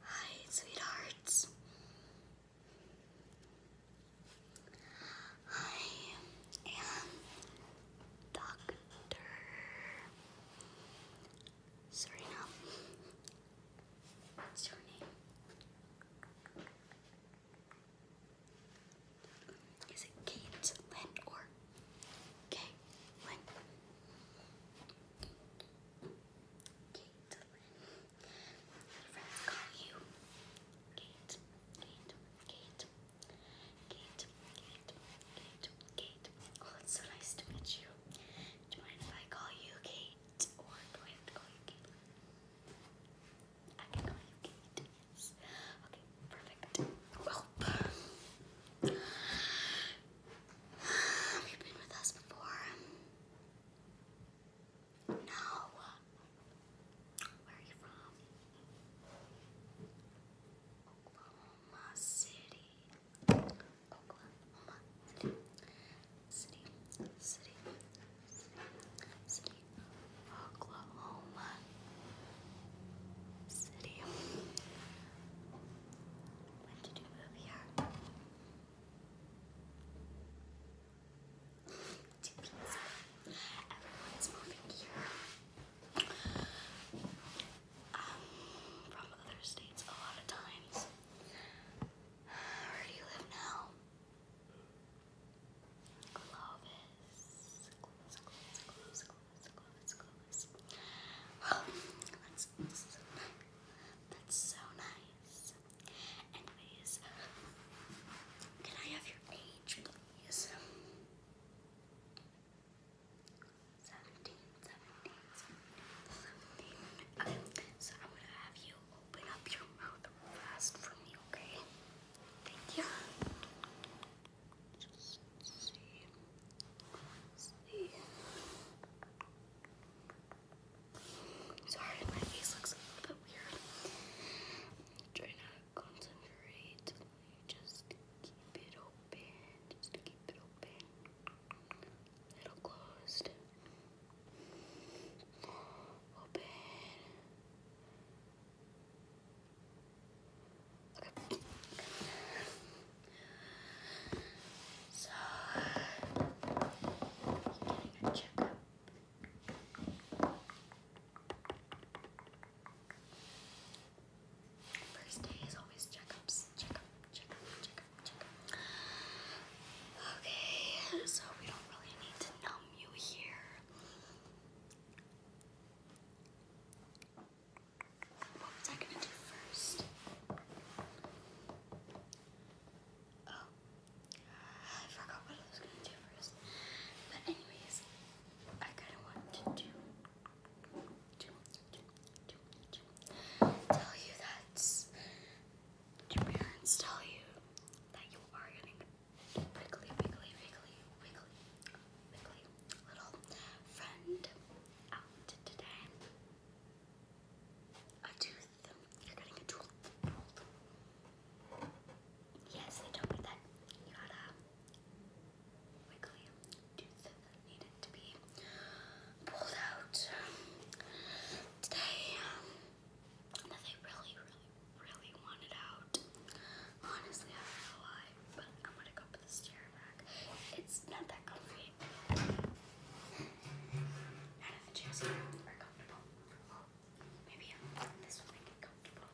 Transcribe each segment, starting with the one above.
Hi, sweethearts. I am Dr. Serena. What's your name? Is it Kate Lynn or Kay Lynn? Kate. friends call you Kate, Kate, Kate, Kate, Kate, Kate, Kate. Oh, it's so nice to meet you. Do you mind if I call you Kate? Or do I have to call you Kate? I can call you Kate, yes. Okay, perfect. Well, have you been with us before? No. Where are you from? Oklahoma City. Oklahoma City. City. City. City. Oklahoma City when to do what we are. Two Everyone is moving here. Um, from other states a lot of times. Where do you live now? Clovis that's, so nice. Anyways, can I have your age, please? 17, 17. Okay, so I'm gonna have you open up your mouth fast for me, okay? Thank you. Just see see. Sorry, my face looks a little bit weird. trying to concentrate. Just keep it open. Just keep it open. Little closed. Open. So, First day is always checkups. Checkup, checkup, checkup, checkup. Okay, so we don't really need to numb you here. What was I gonna do first? Oh, I forgot what I was gonna do first. But anyways, I kinda want to do, do, do, do, tell you that your parents tell you that you are getting wiggly, wiggly, wiggly, wiggly, wiggly, little friend out today. A tooth. You're getting a tooth pulled. Yes, they told me that you had a wiggly tooth needed to be pulled out today. Um, that they really, really, really wanted out. Honestly, I don't know why, but I'm gonna go put chair back. It's not that comfy. None of the chairs are comfortable. Maybe this will make it comfortable.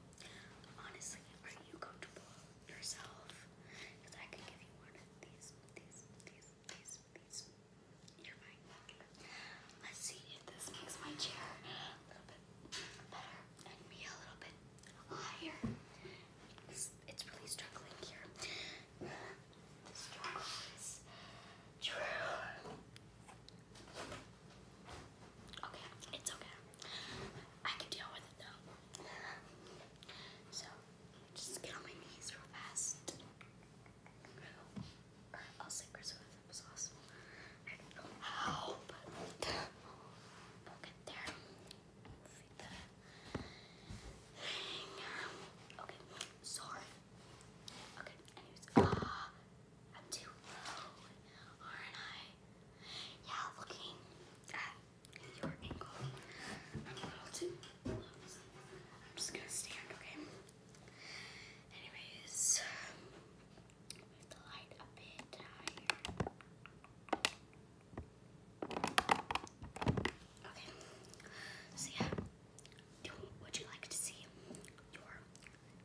Honestly, are you comfortable yourself? Because I can give you one of these, these, these, these, these. You're fine. Let's see if this makes my chair a little bit better and me a little bit higher it's really struggling here. true. Okay, it's okay. I can deal with it though. So just get on my knees real fast. I'll say Chris was awesome. I we'll get there. Okay, sorry. Okay, anyways. Uh, I'm too low, are I? Yeah, looking at your ankle, I'm a little too low. I'm just gonna stand, okay? Anyways, move the light a bit Okay, Okay. So yeah, would you like to see your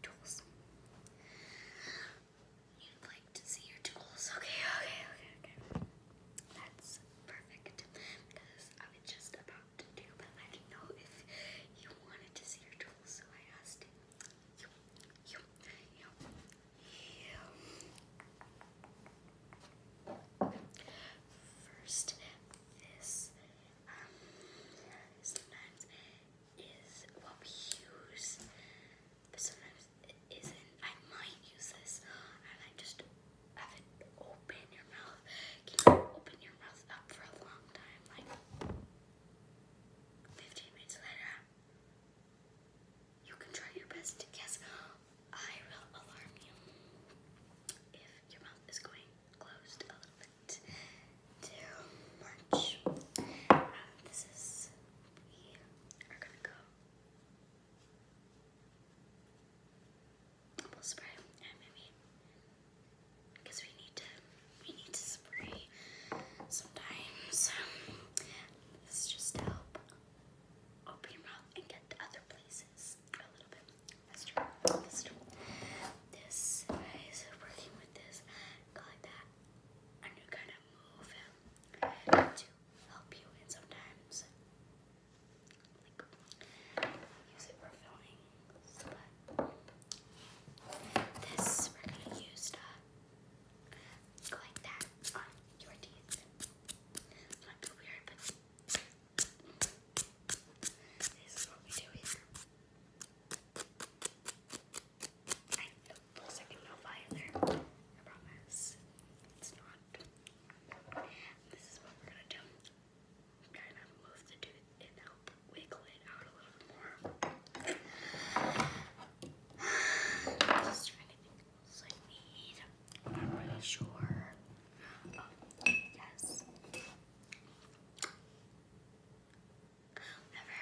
tools? You'd like to see your tools? Okay, okay, okay, okay. That's perfect because I was just about to do, but I didn't know if you wanted to see your tools, so I asked you, you, you, First, this um, sometimes is what we use, but sometimes it isn't. I might use this. I just have it open your mouth. Keep you open your mouth up for a long time, like 15 minutes later. You can try your best to guess. I will alarm you if your mouth is going closed a little bit too much. Uh, this is, we are gonna go we'll spray and because we need to we need to spray sometimes this is just to help open your and get to other places a little bit. That's This is working with this like that, and you're gonna move him um, to help you. And sometimes, use it for filming. But this we're gonna use to uh, going that your teeth. Might be weird, but this is what we do here. I know for a second no fire there. I promise. It's not. This is what we're gonna do. Kind of move the tooth and help wiggle it out a little more. I'm not really sure. yes. Whenever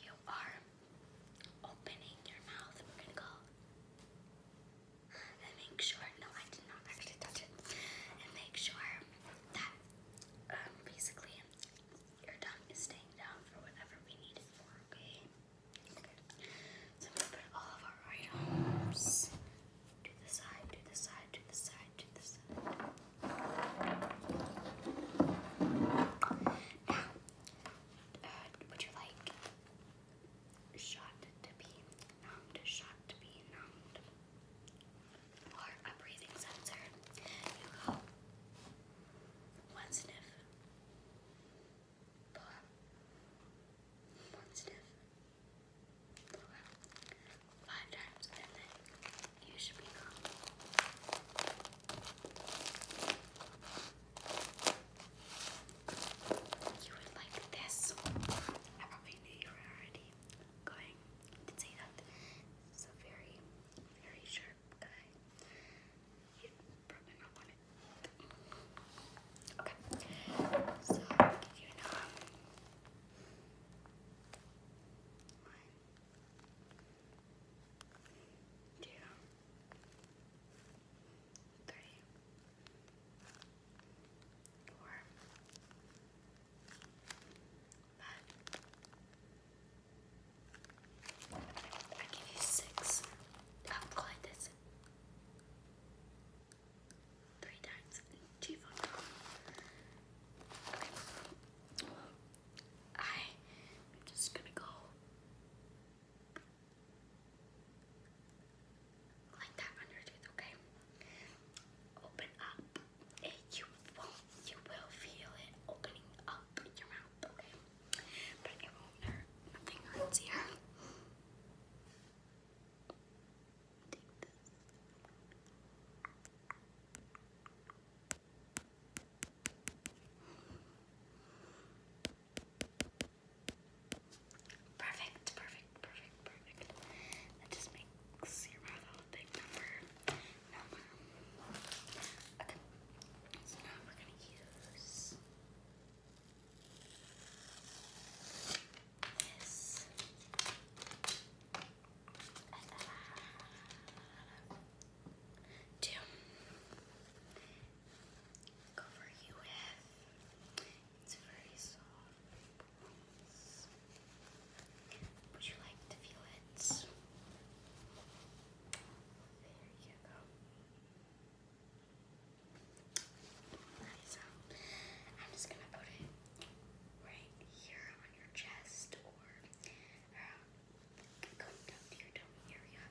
you are opening your mouth, we're gonna go and make sure, no, I did not actually touch it, and make sure that um, basically your tongue is staying down for whatever we need it for, okay? So I'm gonna put all of our items to the side, to the side, to the side, to the side. Now, uh, would you like shot to be numbed, shot to be numbed, or a breathing sensor? You go. One sniff. Blow out. One sniff. Blow out. Five times and then you should be gone. You would like this. I probably knew you were already going to say that. So very, very sure Okay. You probably not want it. Okay. So I'll give you another one. One. Two. Three. Four. Five. Six. I give you six of colitis. Three times two photon. I'm just gonna go like that under your tooth, okay? Open up you won't, you will feel it opening up your mouth, okay? But it won't hurt. Nothing hurts here. Take this. Perfect, perfect, perfect, perfect. That just makes your mouth all big number. No. Okay. So now we're gonna use this. To cover you with, it's very soft. Would you like to feel it? There you go. so I'm just gonna put it right here on your chest or around um, down to your tummy area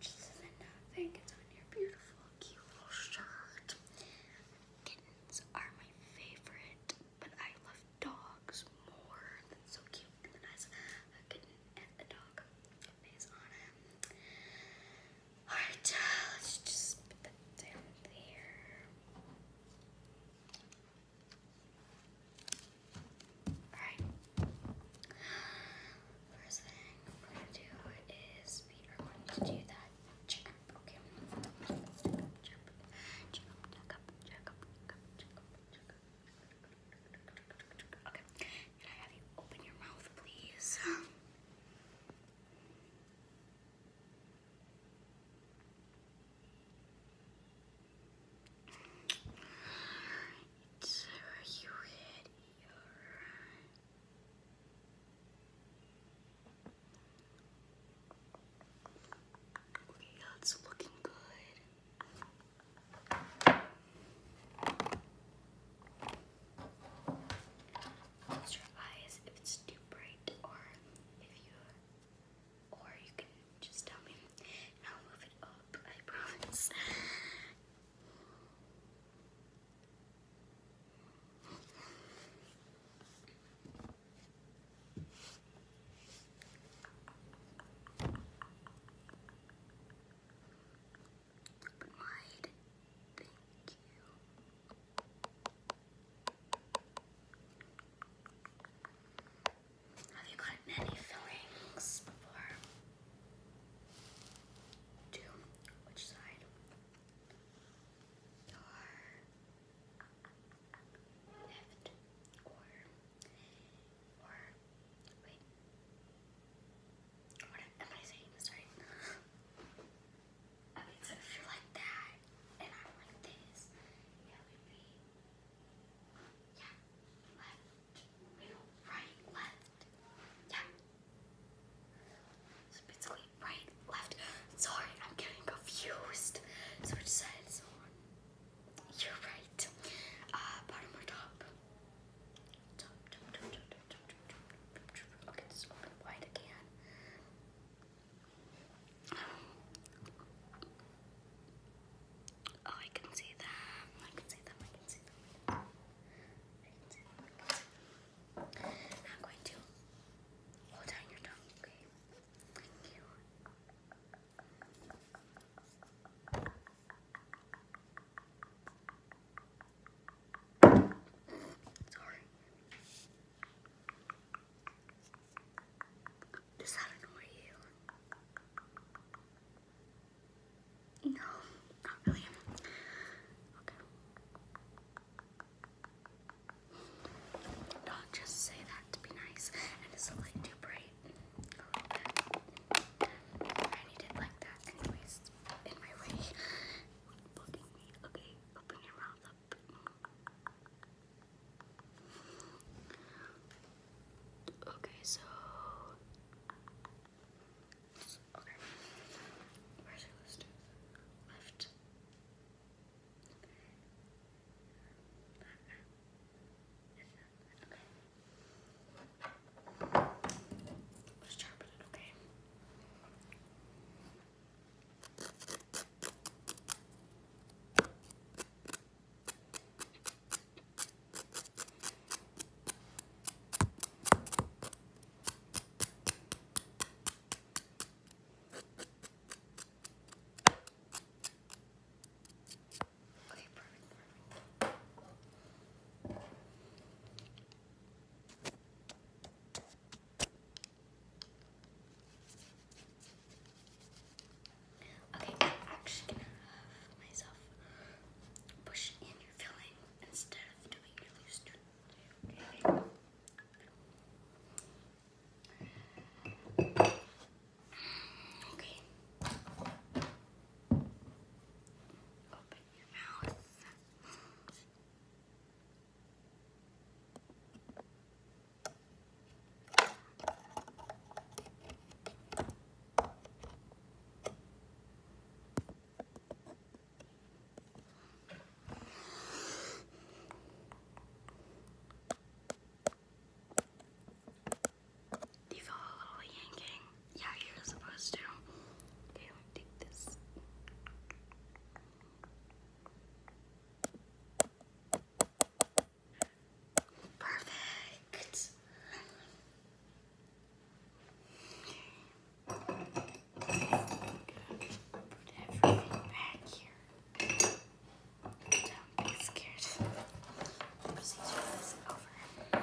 just so that nothing gets on your beautiful, cute little shirt. Kittens are my favorite but I love dogs more. That's so cute. And then has a kitten and a dog face on him. Alright, let's just put that down there. Alright. First thing we're going to do is we are going to do that checkup. Okay. Checkup, checkup, checkup, checkup, checkup, checkup, checkup, Okay, can I have you open your mouth, please? Alright. Okay, that's looking good. Close your eyes if it's too bright, or if you, or you can just tell me, I'll move it up. I promise. Open Thank you. Have you gotten any fillings before? Two. Which side? Your left or or wait. am I saying this right? so if you're like that and I'm like this, yeah, left, middle, right, left, yeah. So basically right, left. Sorry, I'm getting confused. So which side is on? You're right. Uh, bottom or top? Top, top, top, top, top, top, top, top. Okay, just open wide again. Oh, I can see them. I can see them. I can see them. I can see them. I'm going to hold down your tongue, okay? Thank you. Sorry. Does that annoy you? No, not really. Okay. Don't just say that to be nice. And it's a light too bright. I need it that. Anyways, in my way. Okay, open your mouth up. Okay, so. Okay. Where's your list? Left. Okay. Let's sharpen it, okay? Okay. Okay, perfect. Okay, I'm actually gonna have myself push in your filling instead of doing your loose. Okay. Okay. Open your mouth. Do a little yanking? Yeah, you're supposed to. Okay, let me take this. Perfect. Put everything back here. Don't scared. The procedure is this off. Okay, I'm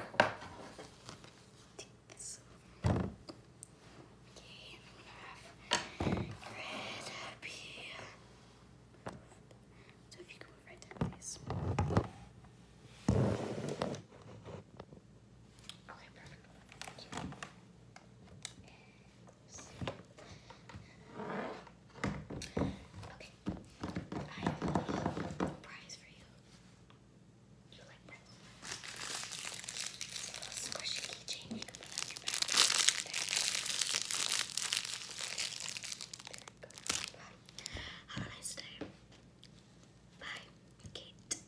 going have red happy. So if you can move right down, please. Okay, perfect. Thank you close. Okay, I have a little prize for you. You like pretzels? little squishy keychain There. There Have a nice day. Bye, Kate.